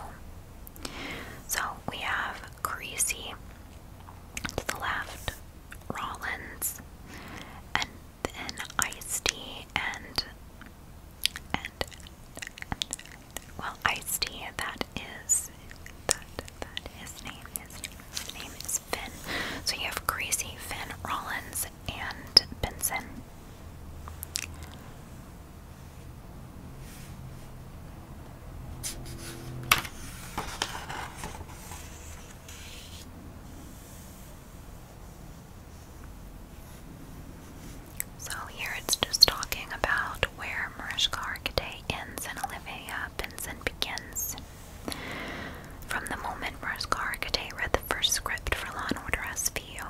So we have Creasy to the left, Rollins, and then Ice T and well, Ice T. That is that his name. His his name is Finn. So you have Creasy, Finn, Rollins, and Benson. So here it's just talking about where Mariska Hargitay ends and Olivia Benson begins. From the moment Mariska Hargitay read the first script for Law & Order SVU,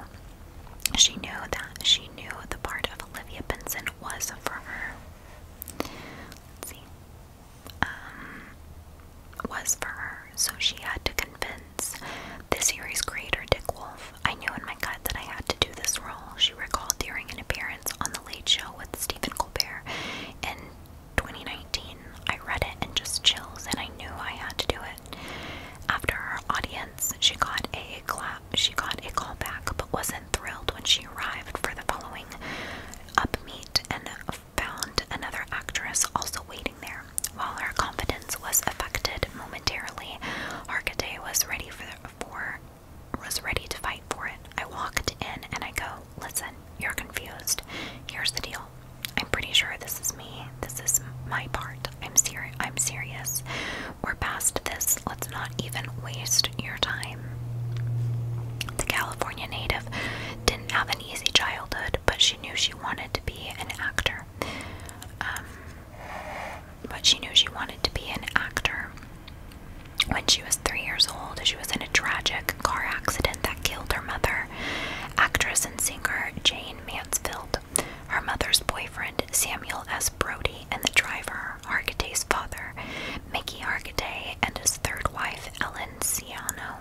she knew that she knew the part of Olivia Benson was for her. Let's see. Um, was for her, so she had to convince the series creator Dick Wolf. I knew in my gut that I had to do this role, she recalled during an appearance on The Late Show with Stephen Colbert in 2019. I read it and just chills, and I knew I had to do it. After her audience, she got a clap. She got a call back, but wasn't thrilled when she arrived for the following up meet and found another actress also waiting there. While her confidence was affected momentarily, Hargitay was ready for, for was ready to fight for it. I walked in and I go, listen, you're confused. Here's the deal. I'm pretty sure this is me this is my part. I'm serious. I'm serious. We're past this. Let's not even waste your time. The California native didn't have an easy childhood, but she knew she wanted to be an actor. Um, but she knew she wanted to be an actor. When she was three years old, she was in a tragic car accident that killed her mother. Actress and singer Jane Mansfield her mother's boyfriend, Samuel S. Brody, and the driver, Hargitay's father, Mickey Hargitay, and his third wife, Ellen Siano,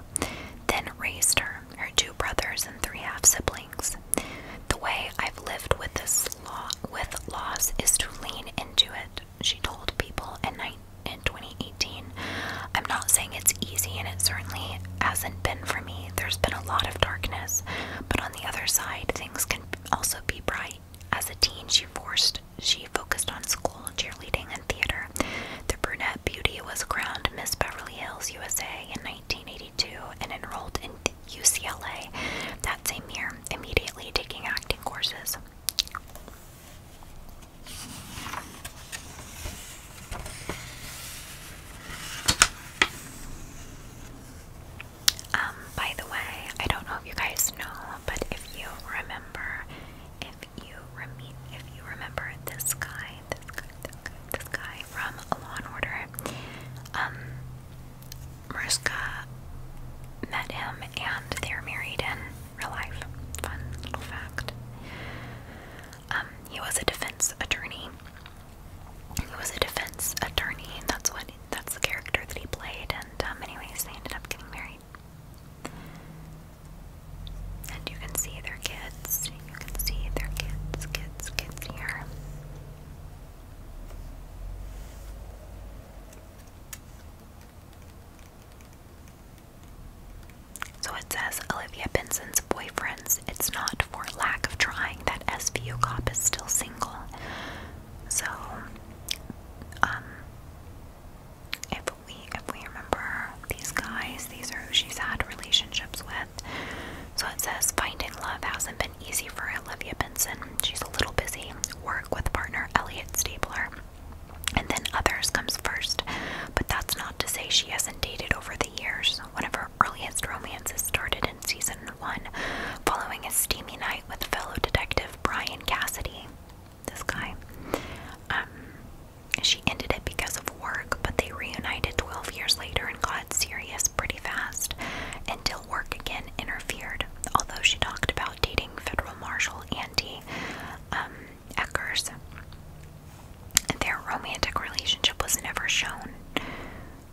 then raised her, her two brothers, and three half siblings. The way I've lived with this law with loss is to lean into it, she told people in, in 2018. I'm not saying it's easy, and it certainly hasn't been for me, there's been a lot of darkness, but on the other side, things can also be bright. As a teen, she forced she focused on school, cheerleading, and theater. The brunette beauty was crowned Miss Beverly Hills, USA, in 1982, and enrolled in UCLA that same year, immediately taking acting courses. Um, by the way, I don't know if you guys know, but if you remember, if you rem if you remember this guy, this guy, this guy, from Law and Order, um, Mariska met him and they're married in real life. Fun little fact. Um, he was a defense attorney he was a defense attorney, that's what that's the character that he played. And um, they ended up getting married. And you can see their kids. You can see their kids, kids, kids here. So it says Olivia Benson's boyfriends it's not for lack of trying that SVU cop is still single. So, um, if we if we remember these guys, these are who she's had relationships with. So it says finding love hasn't been easy for Olivia Benson. She's a little busy. Work with partner Elliot Stapler, And then others comes first, but that's not to say she hasn't dated over the years. One of her earliest romances started in season one, following a steamy night with fellow detective Brian Cassidy. This guy. Um, she ended it because of work, but they reunited 12 years later and got serious pretty fast until work again interfered. Although she talked about dating federal marshal Andy um, Eckers, their romantic relationship was never shown.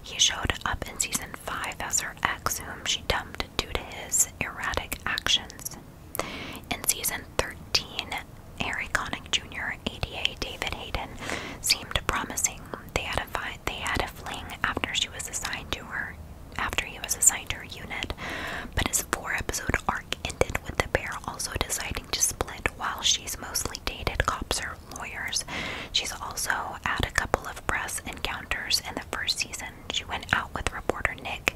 He showed up in season 5 as her ex, whom she dumped due to his erratic actions. In season 13, Harry Connick Jr., ADA David Hayden, seemed promising. They had a they had a fling after she was assigned to her after he was assigned to her unit, but his four-episode arc ended with the pair also deciding to split while she's mostly dated cops, or lawyers. She's also had a couple of press encounters in the first season. She went out with reporter Nick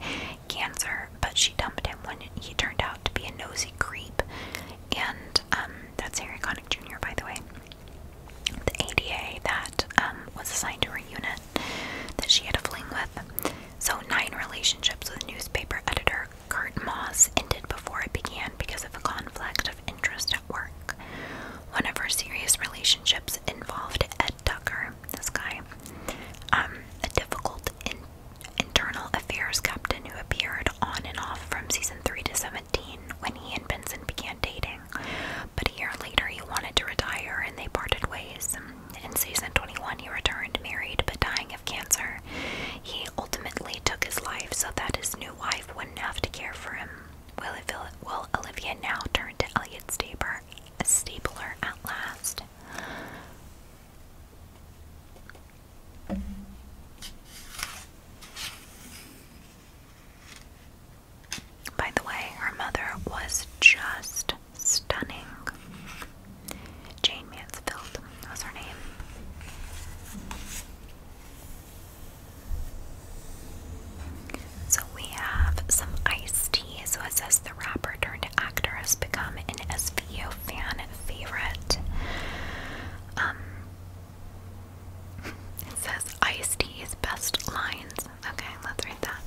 Ganser, but she dumped him when he turned out to be a nosy creep. And um, that's Harry Connick Jr., by the way. The ADA that um, was assigned to her unit that she had a fling with. So, nine relationships with newspaper editor Kurt Moss ended before it began because of a conflict interest at work. One of her serious relationships involved Ed Tucker, this guy, um, a difficult internal affairs captain who appeared on and off from season 3 to 17 when he and Benson began dating. But a later, he wanted to retire and they parted ways. In season 21, he returned married but dying of cancer. He ultimately took his life so that his new wife wouldn't have to care for him. Will, Olivia now turn to Elliot Stabler, Stabler at last? By the way, her mother was just stunning. Jane Mansfield was her name. So we have some iced tea. So it says the rapper turned actor has become an SVU fan favorite. Um, it says iced tea's best lines. Okay, let's read that.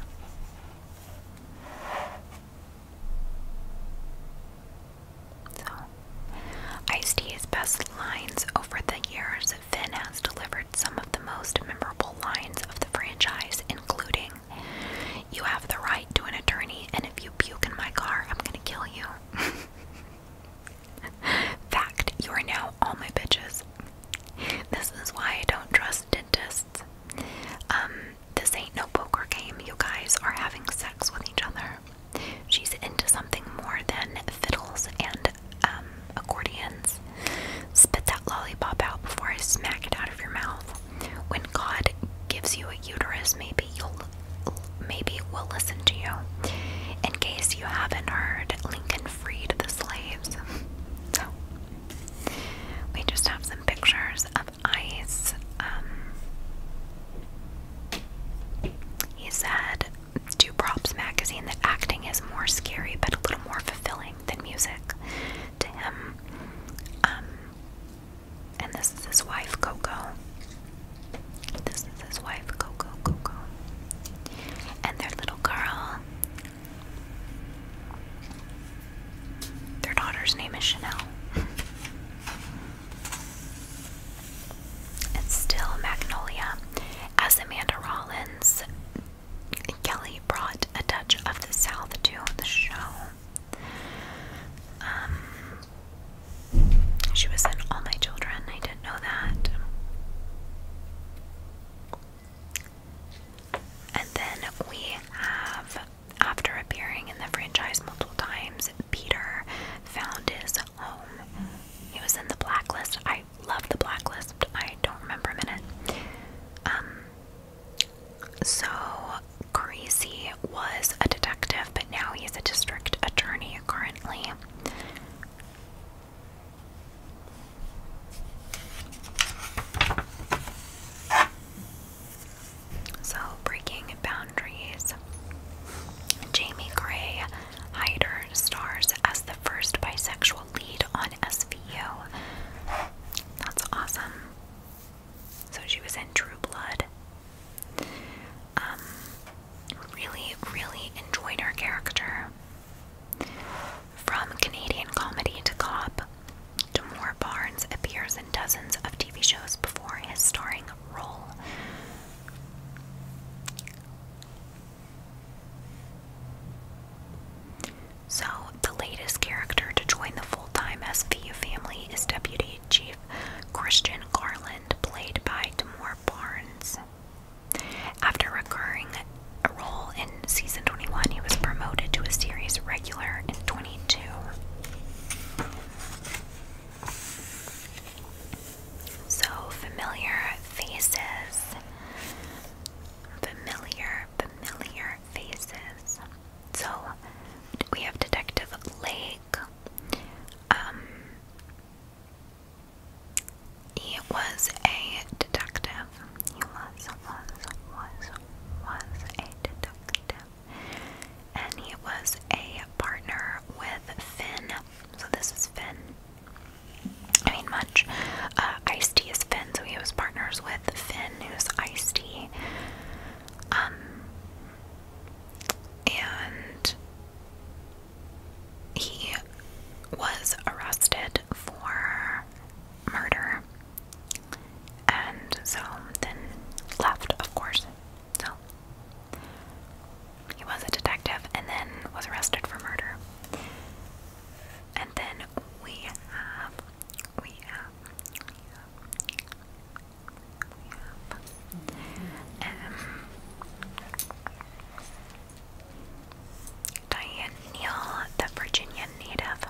Ice-T best lines over the years. Finn has delivered some of the most memorable lines of the franchise, including, You have the right to an attorney, and if you puke in my car, I'm gonna kill you. Fact, you are now all my bitches. This is why I don't trust dentists. Um, this ain't no poker game. You guys are having sex with each other. She's into something more than fiddles and um, accordions. Spit that lollipop out before I smack it out of your mouth. When God gives you a uterus, maybe you'll, maybe will listen to you. In case you haven't heard, Lincoln freed the slaves. so we just have some pictures of ice. Um, he said to Props Magazine that acting is more scary but a little more fulfilling than music to him. Um, and this is his wife, Coco. This is his wife, Coco, Coco. And their little girl. Their daughter's name is Chanel. It's still Magnolia. As Amanda Rollins, Kelly brought a touch of the South to the show. Um, she was in All My Children. I didn't know that. And then we have, after appearing in the franchise multiple times, Peter found his he was in the blacklist. I love the blacklist. I don't remember a minute. Um, so Crazy was a detective, but now he's a district attorney currently. So, breaking boundaries. Jamie Gray Hyder stars as the first bisexual lead on SVU. That's awesome. So she was in True Blood. Um, really, really enjoyed her character. From Canadian comedy to cop, Damore Barnes appears in dozens of TV shows before his starring role. So, the latest character to join the full time SVU family is Deputy Chief Christian Garland, played by Damore Barnes. After recurring a role in season 21, he was promoted to a series regular in 22. So familiar faces. Familiar, familiar faces. So we have Detective Lake. Um, he was a detective. He was, was, was, was a detective. And he was a partner with Finn so this is Finn. I mean, much. Uh, Ice Tea is Finn, so he was partners with Finn, who's Ice Tea. Um, and he was arrested for murder and so then left, of course. So he was a detective and then was arrested for murder. And then we have, we have, we have, we have um, Diane Neal, the Virginia native,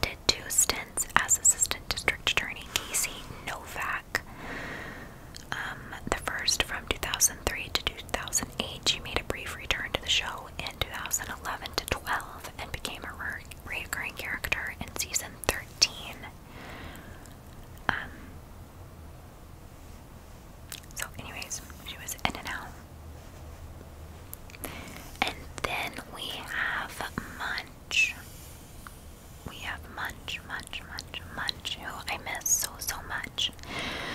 did two stints as assistant district attorney Casey Novak um, the first from 2003 to 2008, she made a brief return to the show in 2011 to 12 and became a recurring character in season 13. Um, so, anyways, she was in and out. And then we have Munch we have Munch, Munch, Munch, Munch, who I miss so, so much.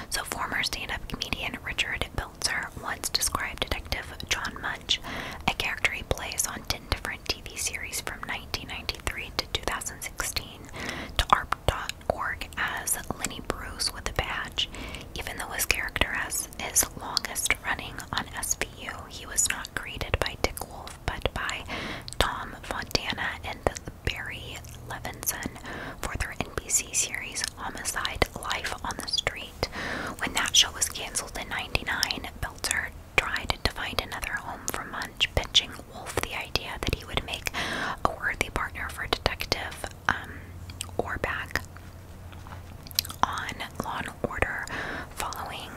So, former stand up comedian Richard Belzer once described Detective John Munch, a character he plays on 10 different TV series from 1993 to 2016, to ARP.org as Lenny Bruce with a badge. Even though his character is longest running on SVU, he was not greeted by Dick Wolf but by Tom Fontana in Barry Levinson for their NBC series Homicide Life on the Street. When that show was canceled in 99, Belzer tried to find another home for Munch, pitching Wolf the idea that he would make a worthy partner for Detective um, on Law and Order following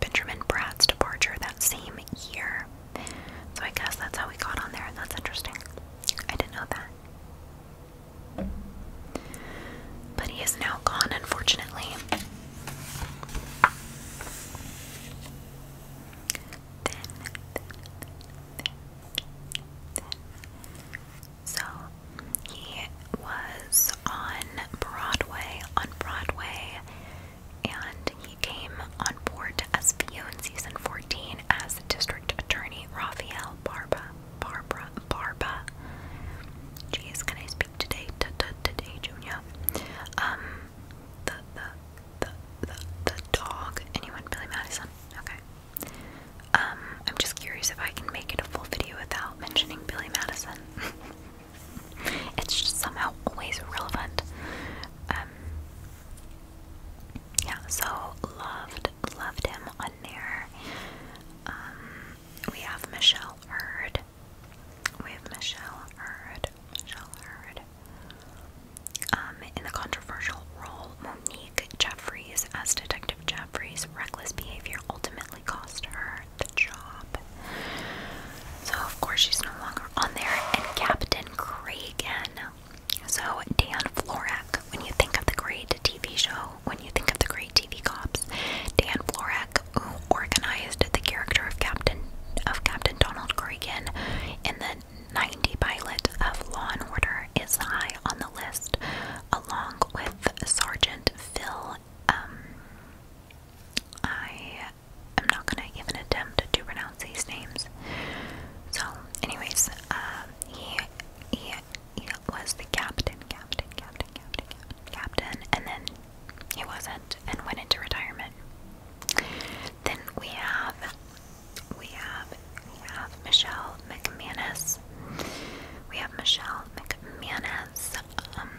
Benjamin Bratt's departure that same year. So I guess that's how we got on there. That's interesting. I didn't know that. But he is now gone, unfortunately. Then, then, then, then. So he was on Broadway. On Broadway, and he came on board as View in season 14 as District Attorney Rafael Barba. Barbara Barba. Jeez, can I speak today? T today, Junior. Um, the the the the the dog. Anyone? Billy Madison. Okay. Um, I'm just curious if I can make it a full video without mentioning Billy Madison. It's just somehow always relevant. Um, yeah, so loved, loved him on there. Um, we have Michelle Hurd. We have Michelle Hurd. Michelle Hurd. Um, in the controversial role, Monique Jeffries as Detective Jeffries' reckless behavior ultimately cost her the job. So, of course, she's no longer on there. And Captain Kragan. So, Dan Florek, when you think of the great TV show, when you think of the great TV cops, Dan Florek, who organized the character of Captain of Captain Donald Kragan in the 90 pilot of Law and Order, is high on the list, along with Sergeant Phil. Um, I I'm not gonna even attempt to pronounce these names. So, anyways, um, he, he, he was the captain, captain, captain, captain, captain, and then he wasn't and went into retirement. Then we have, we have, we have Michelle McManus. We have Michelle McManus, um,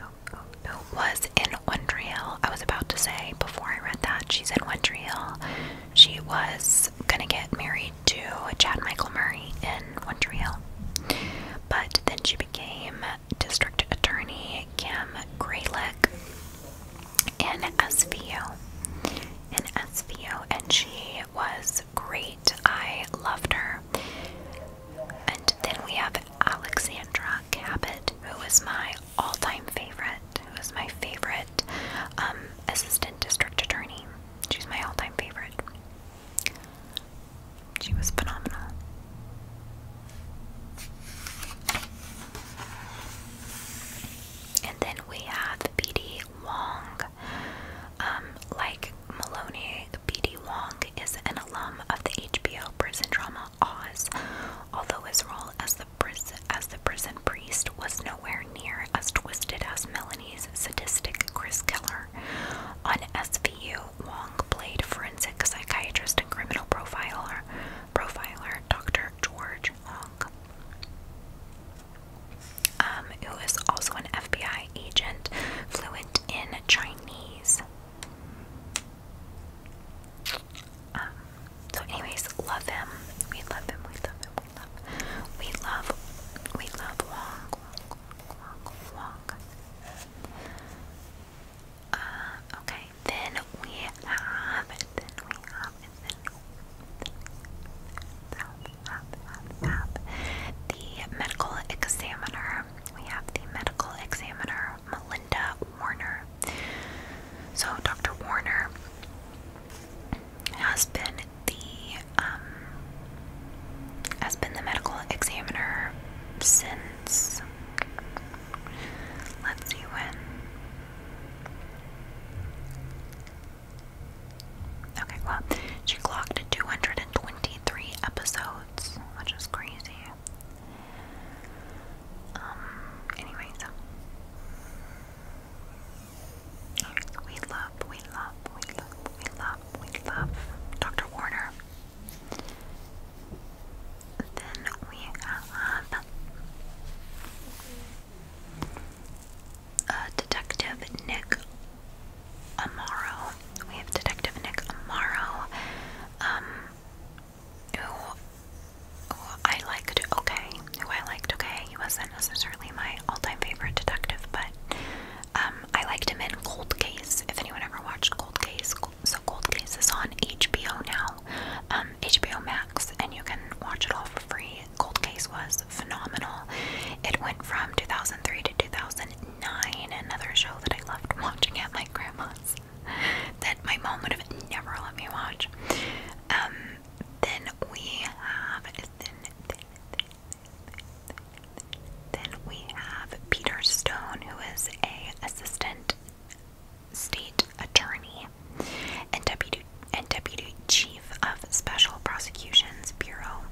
oh, oh, oh, was in Wondriel. I was about to say before I read that she's in Wondriel. She was gonna get married to Chad Michael Murray in Wondriel, but then she became District Attorney Kim Graylick in SVU. In SVU, and she was great. I loved her. And then we have Alexandra Cabot, who was my all-time favorite, who was my favorite um, assistant district attorney. She's my all-time favorite. She was phenomenal. And then we have BD Wong. Um, like Maloney, BD Wong is an alum of the HBO prison drama Oz, although his role as the prison priest was nowhere near as twisted as Melanie's sadistic Chris Keller. On SVU, Wong played forensic psychiatrist and criminal profiler, Dr. George Wong, um, who is also an FBI agent, fluent in Chinese. Um, so, anyways, love him. We love him. We love him. We love. We love. We love Wong. Wong. Wong. Wong. Uh, okay. Then we have. Then we have. Then we have, have, have, have the medical examiner we have the medical examiner, Melinda Warner. So, Dr. Warner has been the um, has been the medical examiner since let's see when. Okay, well, she clocked 223 episodes, which is crazy. Um, anyways. We love, we love, we love, we love, we love Dr. Warner. Then we have Detective Nick Amaro. We have Detective Nick Amaro. Um, who, I liked, okay, who I liked, okay, he wasn't necessarily my all-time favorite detective, but um, I liked him in Cold Case, if anyone ever watched Cold Case, so Cold Case is on HBO now, um, HBO Max, and you can watch it all for free. Cold Case was phenomenal. It went from 2003 to 2009, another show that I loved watching at my grandma's. that my mom would have never let me watch. Um, then we have then we have Peter Stone, who is a assistant state attorney and deputy and deputy chief of Special Prosecutions Bureau.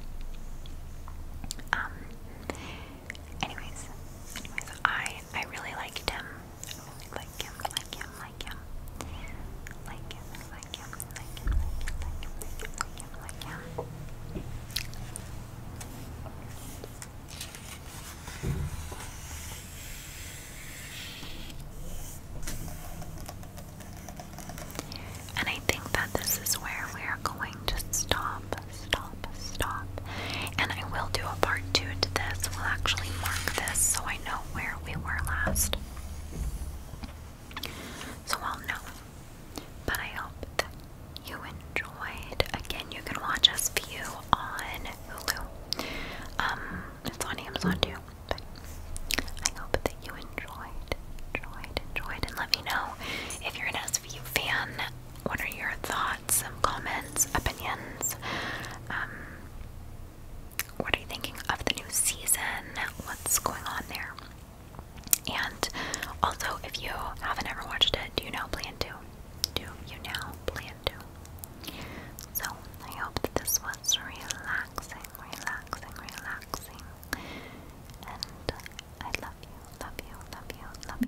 Um, Anyways, anyways, I I really liked him. like him, like him, like him, like him, like him, like him, like him, like him, like him, like him. And I think that this is where we are going to stop stop, stop. And I will do a part two to this. We'll actually mark this so I know where we were last. So I'll know. But I hope that you enjoyed. Again, you can watch us view on Hulu. Um, it's on Amazon too. But I hope that you enjoyed, enjoyed, enjoyed, and let me know if you're an SVU fan. What are your thoughts? got some comments, opinions. Um, what are you thinking of the new season? What's going on there? And also, if you haven't ever watched it, do you now plan to? Do you now plan to? So, I hope that this was relaxing, relaxing, relaxing. And I love you, love you, love you, love you.